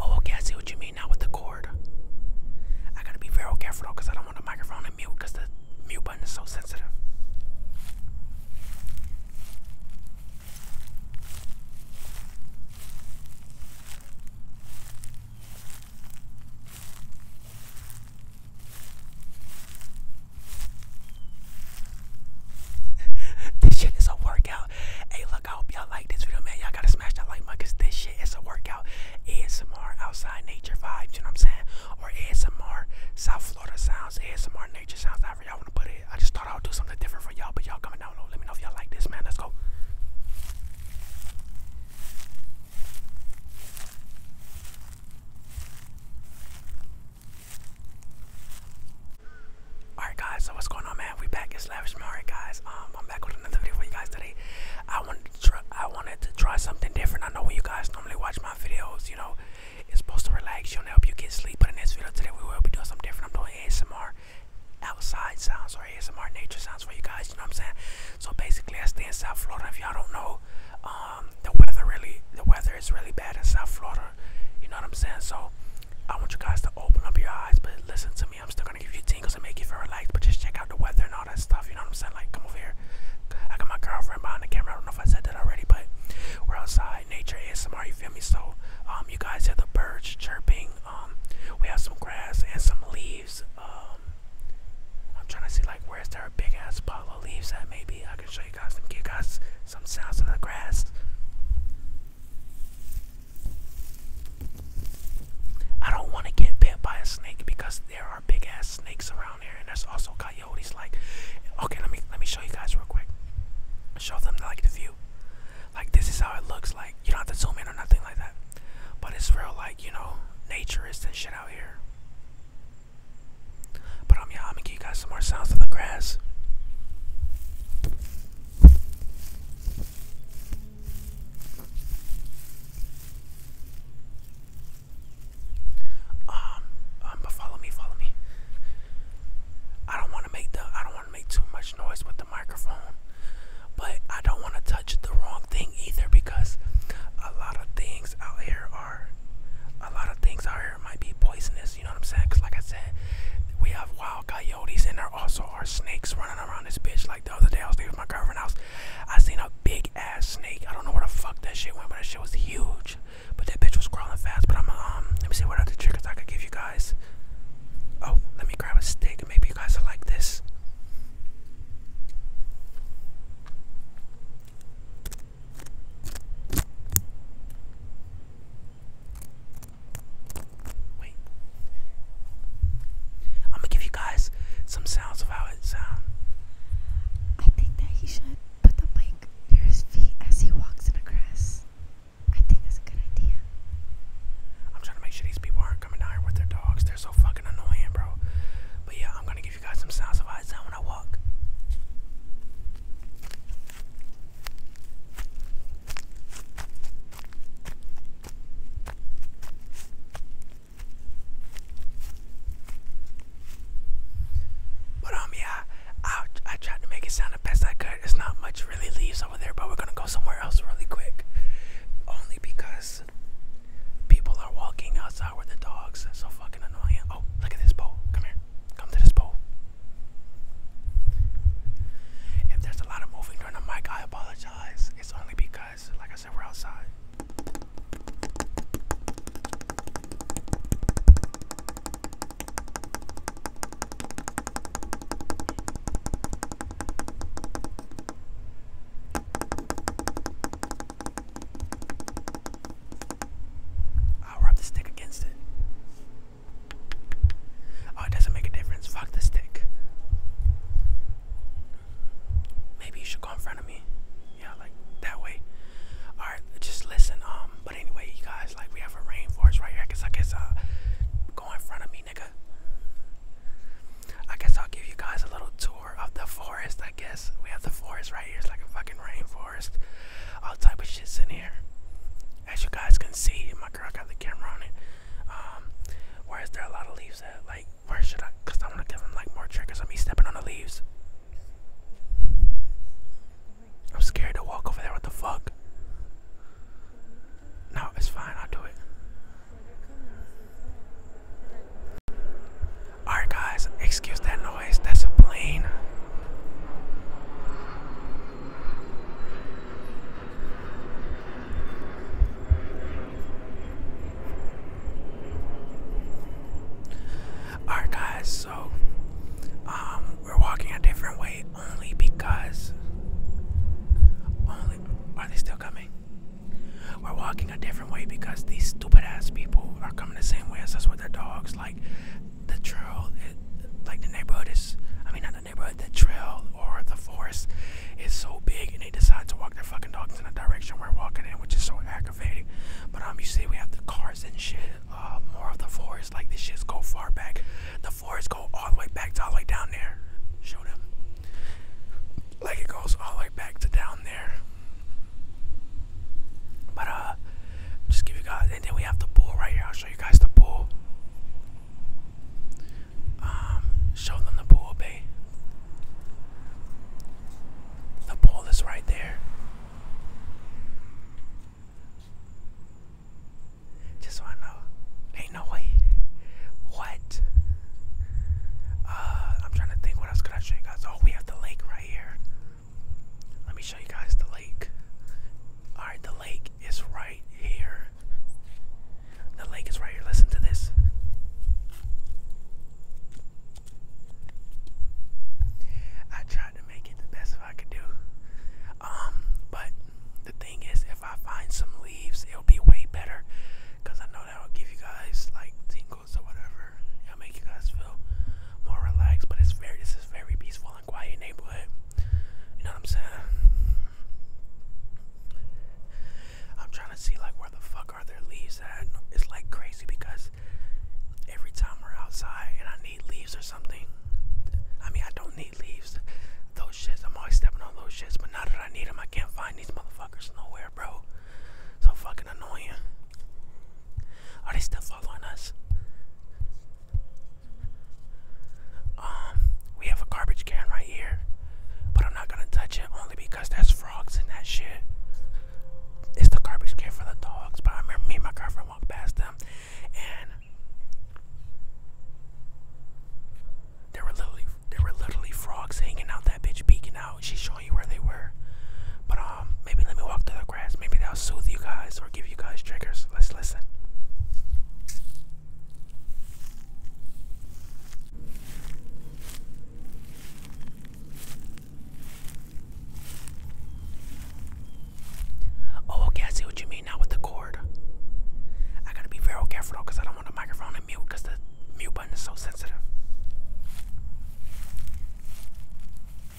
Oh, okay, I see what you mean now with the cord. I gotta be very careful though because I don't want the microphone to mute because the mute button is so sensitive. this shit is a workout. Hey, look, I hope y'all like this video, man. Y'all gotta smash that like button because this shit is a workout. ASMR outside nature vibes, you know what I'm saying? Or ASMR South Florida sounds, ASMR nature sounds, however y'all wanna put it. I just thought I would do something different for y'all, but y'all comment down Let me know if y'all like this, man. Let's go. Alright guys, so what's going on man? We back at Slavish Alright guys. Um I'm back with another video for you guys today. I wanted to try I wanted to try something different. I know when you guys normally watch my videos, you know, it's supposed to relax you and help you get sleep. But in this video today we will be doing something different. I'm doing ASMR outside sounds or ASMR nature sounds for you guys, you know what I'm saying? So basically I stay in South Florida. If y'all don't know, so um, the weather really, the weather is really bad in South Florida. You know what I'm saying? So I want you guys to open up your eyes, but listen to me. I'm still gonna give you tingles and make you feel relaxed, but just check out the weather and all that stuff. You know what I'm saying? Like, come over here. I got my girlfriend behind the camera. I don't know if I said that already, but we're outside. Nature ASMR. You feel me? So um, you guys hear the birds chirping. Um, we have some grass and some leaves. Um, I'm trying to see like where's there a big ass palo leaves that maybe I can show you guys some give you guys some sounds of the grass. I don't want to get bit by a snake because there are big ass snakes around here, and there's also coyotes. Like, okay, let me let me show you guys real quick. Show them like the view. Like this is how it looks like. You don't have to zoom in or nothing like that. But it's real like you know nature is and shit out here. But um, yeah, I'm gonna give you guys some more sounds of the grass. Um, um, but follow me, follow me. I don't want to make the, I don't want to make too much noise with the microphone, but I don't want to touch the wrong thing either because a lot of things out here a lot of things out here might be poisonous. You know what I'm saying? Cause like I said, we have wild coyotes and there also are snakes running around this bitch. Like the other day I was with my girlfriend's house, I seen a big ass snake. I don't know where the fuck that shit went, but that shit was huge. But that bitch was crawling fast. But I'm um, let me see what other tricks I could give you guys. Oh, let me grab a stick. Maybe you guys like this. Wait. I'm gonna give you guys some sounds of how it sounds. I think that he should put the mic near his feet as he walks in the grass. I think that's a good idea. I'm trying to make sure these people aren't coming down with their dogs. They're so fucking annoying, bro. But yeah, I'm gonna you got some sounds of how I when I walk. But um, yeah, I I tried to make it sound the best I could. It's not much really leaves over there, but we're gonna go somewhere else really quick, only because People are walking outside with the dogs. That's so fucking annoying. Oh, look at this pole. Come here. Come to this pole. If there's a lot of moving on the mic, I apologize. It's only because, like I said, we're outside i rub the stick against it. Oh, it doesn't make a difference. Fuck the stick. Maybe you should go in front of me. Yeah, like that way. Alright, just listen. Um, but anyway, you guys, like we have a rainforest right here. I guess I guess uh go in front of me, nigga. I guess I'll give you guys a little tour of the forest, I guess. We have the forest right here. It's like a fucking rainforest. All type of shit's in here. As you guys can see, my girl got the camera on it. Um, where is there a lot of leaves at? Like, where should I? Cause I want to give them like more triggers of me stepping on the leaves. I'm scared to walk over there. What the fuck? No, it's fine. I'll do it. Alright, guys, excuse that noise. That's a plane. Alright, guys, so um, we're walking a different way only because. Only. Are they still coming? We're walking walking a different way because these stupid ass people are coming the same way as us with their dogs. Like the trail, it, like the neighborhood is, I mean, not the neighborhood, the trail or the forest is so big and they decide to walk their fucking dogs in the direction we're walking in, which is so aggravating. But um, you see, we have the cars and shit, uh, more of the forest. Like the shits go far back. The forest go all the way back to all the way down there. Show them. Like it goes all the way back to down there. But uh, just give you guys, and then we have the pool right here. I'll show you guys the pool. Um, show them the pool, babe. The pool is right there. Just wanna know. Ain't no way. What? Uh, I'm trying to think. What else could I show you guys? Oh, we have the lake right here. Let me show you guys the lake. Alright, the lake is right here. The lake is right here. Listen to this. I tried to make it the best I could do. Um, but the thing is if I find some leaves it'll be way better because I know that will give you guys like vocals whatever. It'll make you guys feel more relaxed. But it's very this is very peaceful and quiet neighborhood. You know what I'm saying? I'm trying to see like where the fuck are their leaves at. It's like crazy because every time we're outside and I need leaves or something. I mean I don't need leaves. Those shits, I'm always stepping on those shits, but now that I need them, I can't find these motherfuckers nowhere, bro. So fucking annoying. Are they still following us? Um, we have a garbage can right here, but I'm not gonna touch it only because there's frogs in that shit. It's the garbage can for the dogs, but I remember me and my girlfriend walked past them, and there were literally there were literally frogs hanging out that bitch peeking out. She's showing showing where they were. But um, maybe let me walk through the grass. Maybe that'll soothe you guys or give you guys triggers. Let's listen. Oh, okay, I see what you mean now with the cord. I gotta be very careful because I don't want the microphone to mute because the mute button is so sensitive.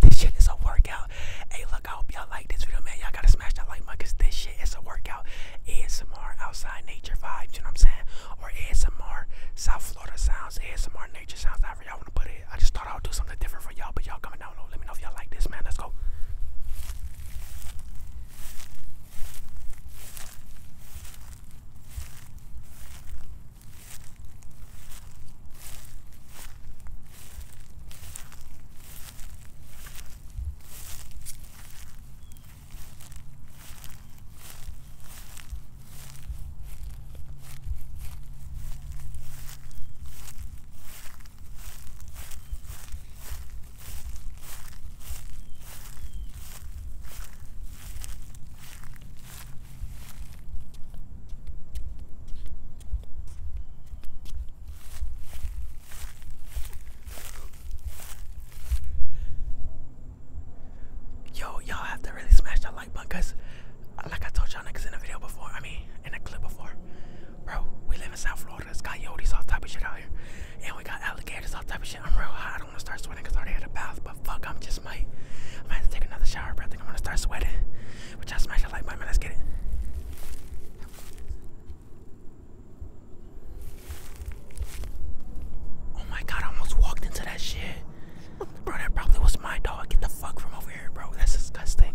this shit is a workout. Hey, look, I hope y'all like this video, man. Y'all gotta smash that like button because this shit is a workout. ASMR outside nature vibes, you know what I'm saying? Or ASMR South Florida sounds, ASMR nature sounds. I just thought I would do something different for y'all, but y'all comment down below. Let me know if y'all like this, man. Let's go. Yo, y'all have to really smash that like because uh, like I told y'all niggas in a video before, I mean in a clip before, bro, we live in South Florida. It's got Yodis, all type of shit out here. And we got alligators, all type of shit. I'm real hot. I don't want to start sweating because I already had a bath, but fuck, I'm just might. i might have to take another shower, but I think I'm gonna start sweating. Which I all smash that like button, man. Let's get it. Oh my god, almost walked into that shit. Bro, that probably was my dog. Get the fuck from over here, bro. That's disgusting.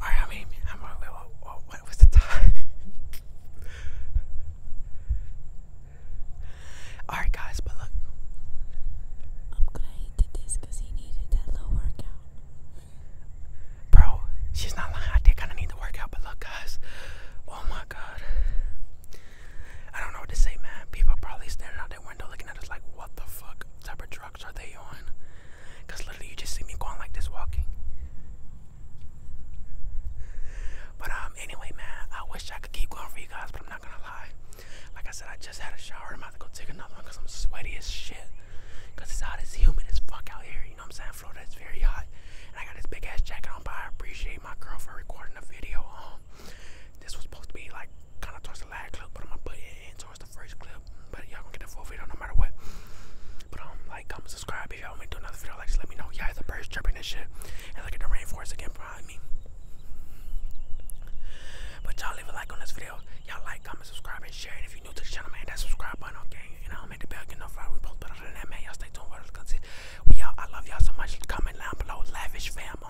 All right, how many? How many? What, what, what was the time? All right, guys, but look. I'm glad he did he needed that little workout. Bro, she's not lying. I did kind of need the workout, but look, guys. Oh my God. I don't know what to say, man. People probably standing out their window looking at us like, what the fuck type of are they on? Because literally, you just see me going like this walking. But um, anyway, man, I wish I could keep going for you guys, but I'm not gonna lie. Like I said, I just had a shower. I'm about to go take another one because I'm sweaty as shit. Because it's hot, it's humid as fuck out here. You know what I'm saying? Florida is very hot. And I got this big ass jacket on, but I appreciate my girl for recording the video. Um, this was supposed to be like kind of towards the last clip, but I'm gonna put it in towards the first clip. But y'all gonna get the full video no matter what. But um, like, comment, subscribe if y'all want me to do another video. Like, just let me know. Yeah, the birds chirping and shit. And look at the rainforest again behind me. But y'all leave a like on this video. Y'all like, comment, subscribe, and share. And if you're new to the channel, man, that subscribe button, okay? And I'll make the bell get notified. We post better than that, man. Y'all stay tuned for us. We all I love y'all so much. Comment down below, lavish fam.